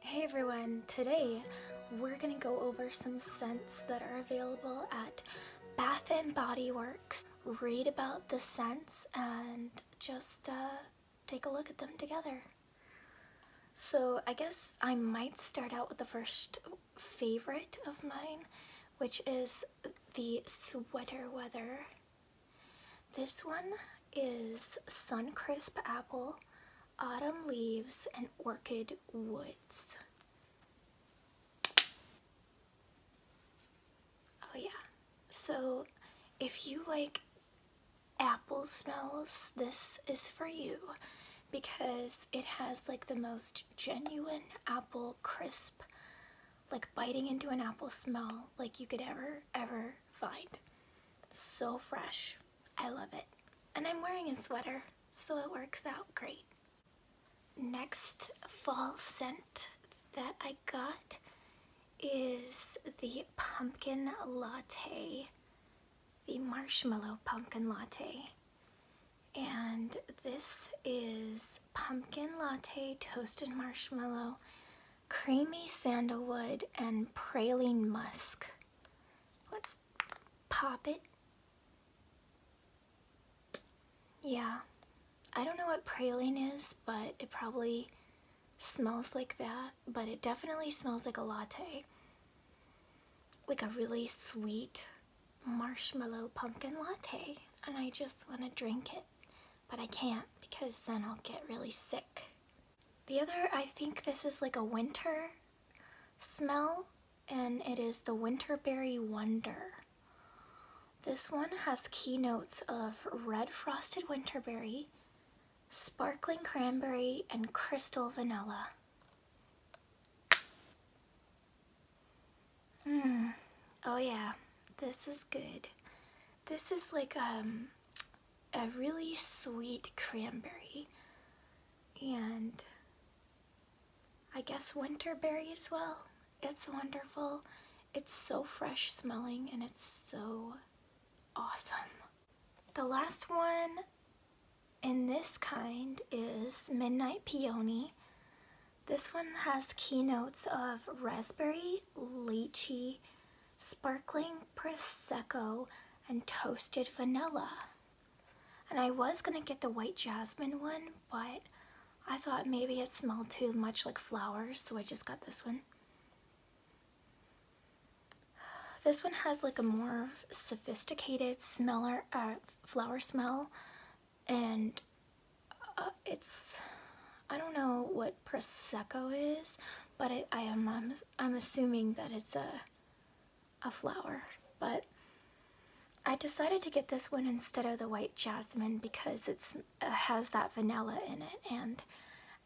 Hey everyone, today we're going to go over some scents that are available at Bath and Body Works. Read about the scents and just uh, take a look at them together. So I guess I might start out with the first favorite of mine, which is the Sweater Weather. This one is Sun Crisp Apple, Autumn Leaves, and Orchid Woods. Oh yeah, so if you like apple smells, this is for you because it has like the most genuine apple crisp like biting into an apple smell like you could ever ever find so fresh i love it and i'm wearing a sweater so it works out great next fall scent that i got is the pumpkin latte the marshmallow pumpkin latte and this is pumpkin latte toasted marshmallow creamy sandalwood and praline musk let's pop it yeah I don't know what praline is but it probably smells like that but it definitely smells like a latte like a really sweet marshmallow pumpkin latte and I just want to drink it, but I can't because then I'll get really sick. The other, I think this is like a winter smell and it is the Winterberry Wonder. This one has keynotes of red frosted winterberry, sparkling cranberry, and crystal vanilla. Mm. Oh yeah, this is good. This is like um, a really sweet cranberry. And I guess winterberry as well. It's wonderful. It's so fresh smelling and it's so awesome. The last one in this kind is Midnight Peony. This one has keynotes of raspberry, lychee, sparkling prosecco, and toasted vanilla. And I was going to get the white jasmine one, but I thought maybe it smelled too much like flowers, so I just got this one. This one has like a more sophisticated smeller, uh, flower smell and uh, it's, I don't know what Prosecco is, but I am, I'm, assuming that it's a, a flower, but I decided to get this one instead of the white jasmine because it has that vanilla in it and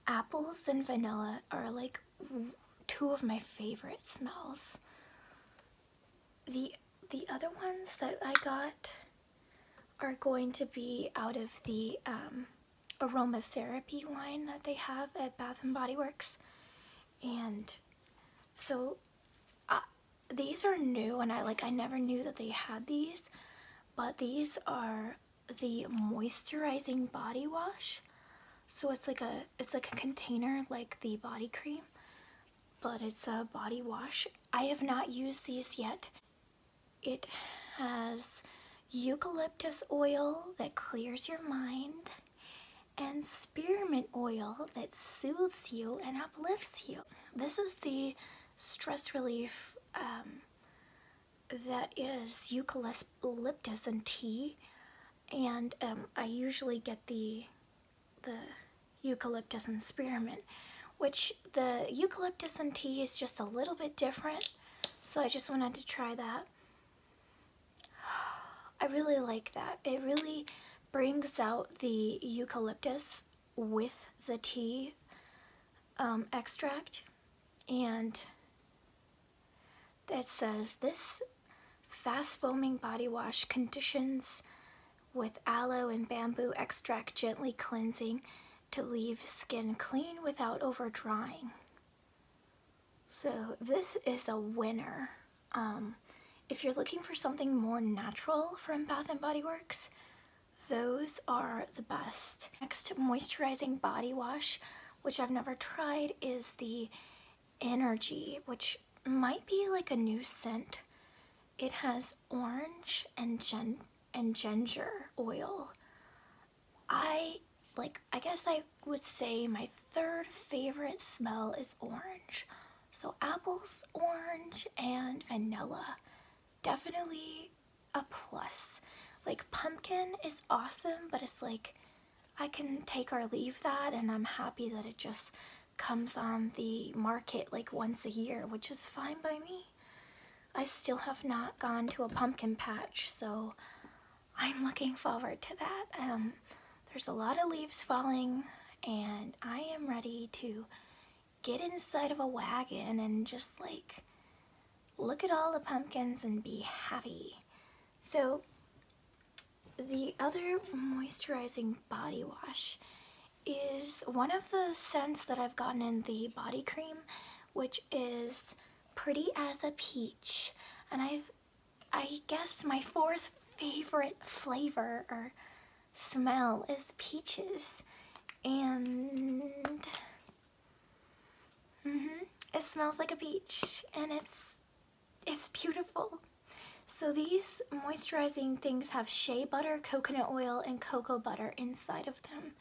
apples and vanilla are like two of my favorite smells. The, the other ones that I got are going to be out of the um, aromatherapy line that they have at Bath and Body Works. And so uh, these are new and I like I never knew that they had these, but these are the moisturizing body wash. So it's like a it's like a container like the body cream, but it's a body wash. I have not used these yet. It has eucalyptus oil that clears your mind and spearmint oil that soothes you and uplifts you. This is the stress relief um, that is eucalyptus and tea and um, I usually get the the eucalyptus and spearmint which the eucalyptus and tea is just a little bit different so I just wanted to try that I really like that it really brings out the eucalyptus with the tea um, extract and it says this fast foaming body wash conditions with aloe and bamboo extract gently cleansing to leave skin clean without over drying. So this is a winner. Um, if you're looking for something more natural from Bath & Body Works, those are the best. Next moisturizing body wash, which I've never tried, is the Energy, which might be like a new scent. It has orange and gen and ginger oil. I like I guess I would say my third favorite smell is orange. So apples, orange, and vanilla. Definitely a plus. Like pumpkin is awesome, but it's like I can take or leave that and I'm happy that it just comes on the market like once a year, which is fine by me. I still have not gone to a pumpkin patch, so I'm looking forward to that. Um, there's a lot of leaves falling and I am ready to get inside of a wagon and just like look at all the pumpkins and be happy. So the other moisturizing body wash is one of the scents that I've gotten in the body cream, which is Pretty as a Peach. And I've, I guess my fourth favorite flavor smell is peaches and mm -hmm, it smells like a beach and it's it's beautiful. So these moisturizing things have shea butter, coconut oil, and cocoa butter inside of them.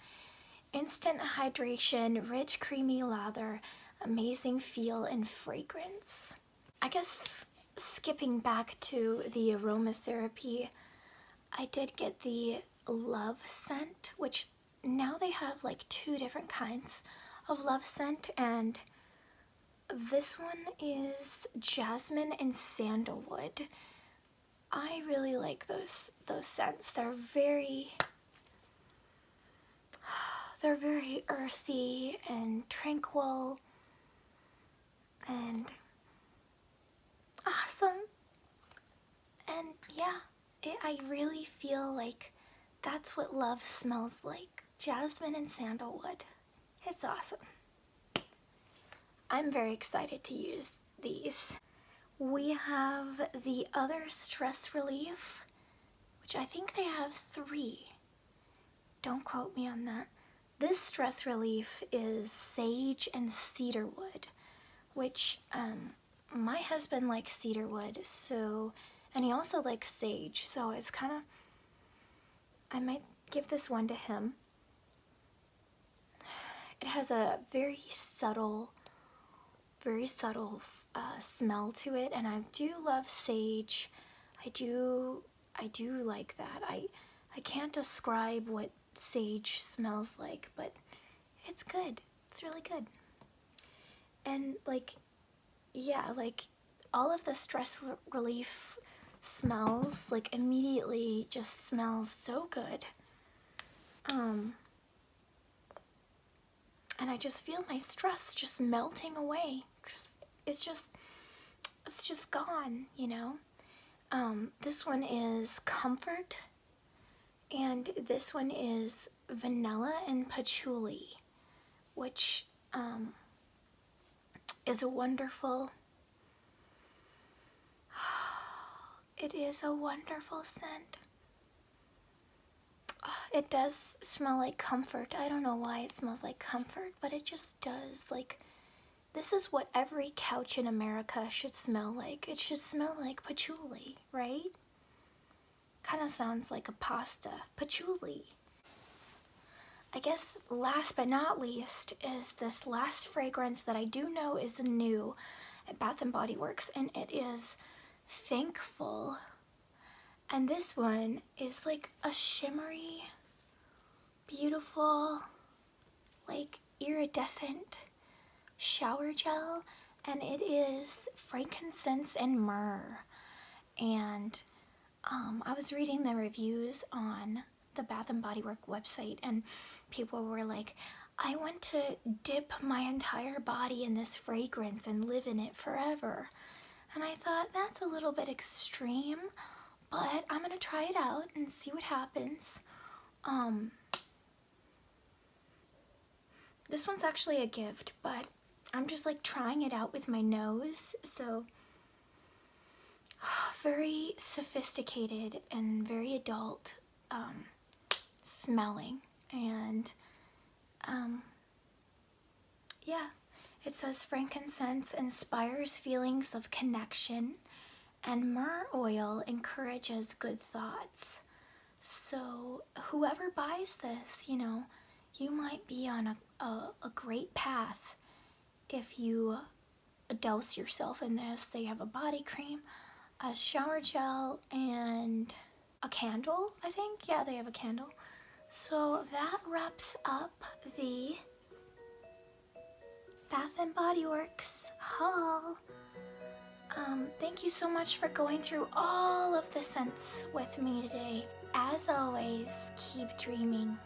Instant hydration, rich creamy lather, amazing feel and fragrance. I guess skipping back to the aromatherapy I did get the love scent, which now they have like two different kinds of love scent and this one is jasmine and sandalwood. I really like those those scents. They're very they're very earthy and tranquil and awesome. And yeah, I really feel like that's what love smells like jasmine and sandalwood. It's awesome. I'm very excited to use these. We have the other stress relief, which I think they have three. Don't quote me on that. This stress relief is sage and cedarwood, which um, my husband likes cedarwood, so, and he also likes sage, so it's kind of, I might give this one to him. It has a very subtle, very subtle uh, smell to it, and I do love sage. I do I do like that. I I can't describe what sage smells like, but it's good. It's really good. And like yeah, like all of the stress relief smells like immediately just smells so good. Um and I just feel my stress just melting away. Just it's just it's just gone, you know. Um, this one is comfort, and this one is vanilla and patchouli, which um, is a wonderful. It is a wonderful scent. It does smell like comfort. I don't know why it smells like comfort, but it just does. Like, this is what every couch in America should smell like. It should smell like patchouli, right? Kind of sounds like a pasta. Patchouli. I guess last but not least is this last fragrance that I do know is new at Bath & Body Works and it is Thankful. And this one one is like a shimmery, beautiful, like iridescent shower gel and it is frankincense and myrrh and um, I was reading the reviews on the Bath and Body Work website and people were like I want to dip my entire body in this fragrance and live in it forever and I thought that's a little bit extreme, but I'm going to try it out and see what happens. Um, this one's actually a gift, but I'm just like trying it out with my nose. So very sophisticated and very adult um, smelling. And um, yeah, it says frankincense inspires feelings of connection and myrrh oil encourages good thoughts. So whoever buys this, you know, you might be on a, a, great path if you douse yourself in this. They have a body cream, a shower gel, and a candle, I think. Yeah, they have a candle. So that wraps up the Bath and Body Works haul. Um, thank you so much for going through all of the scents with me today. As always, keep dreaming.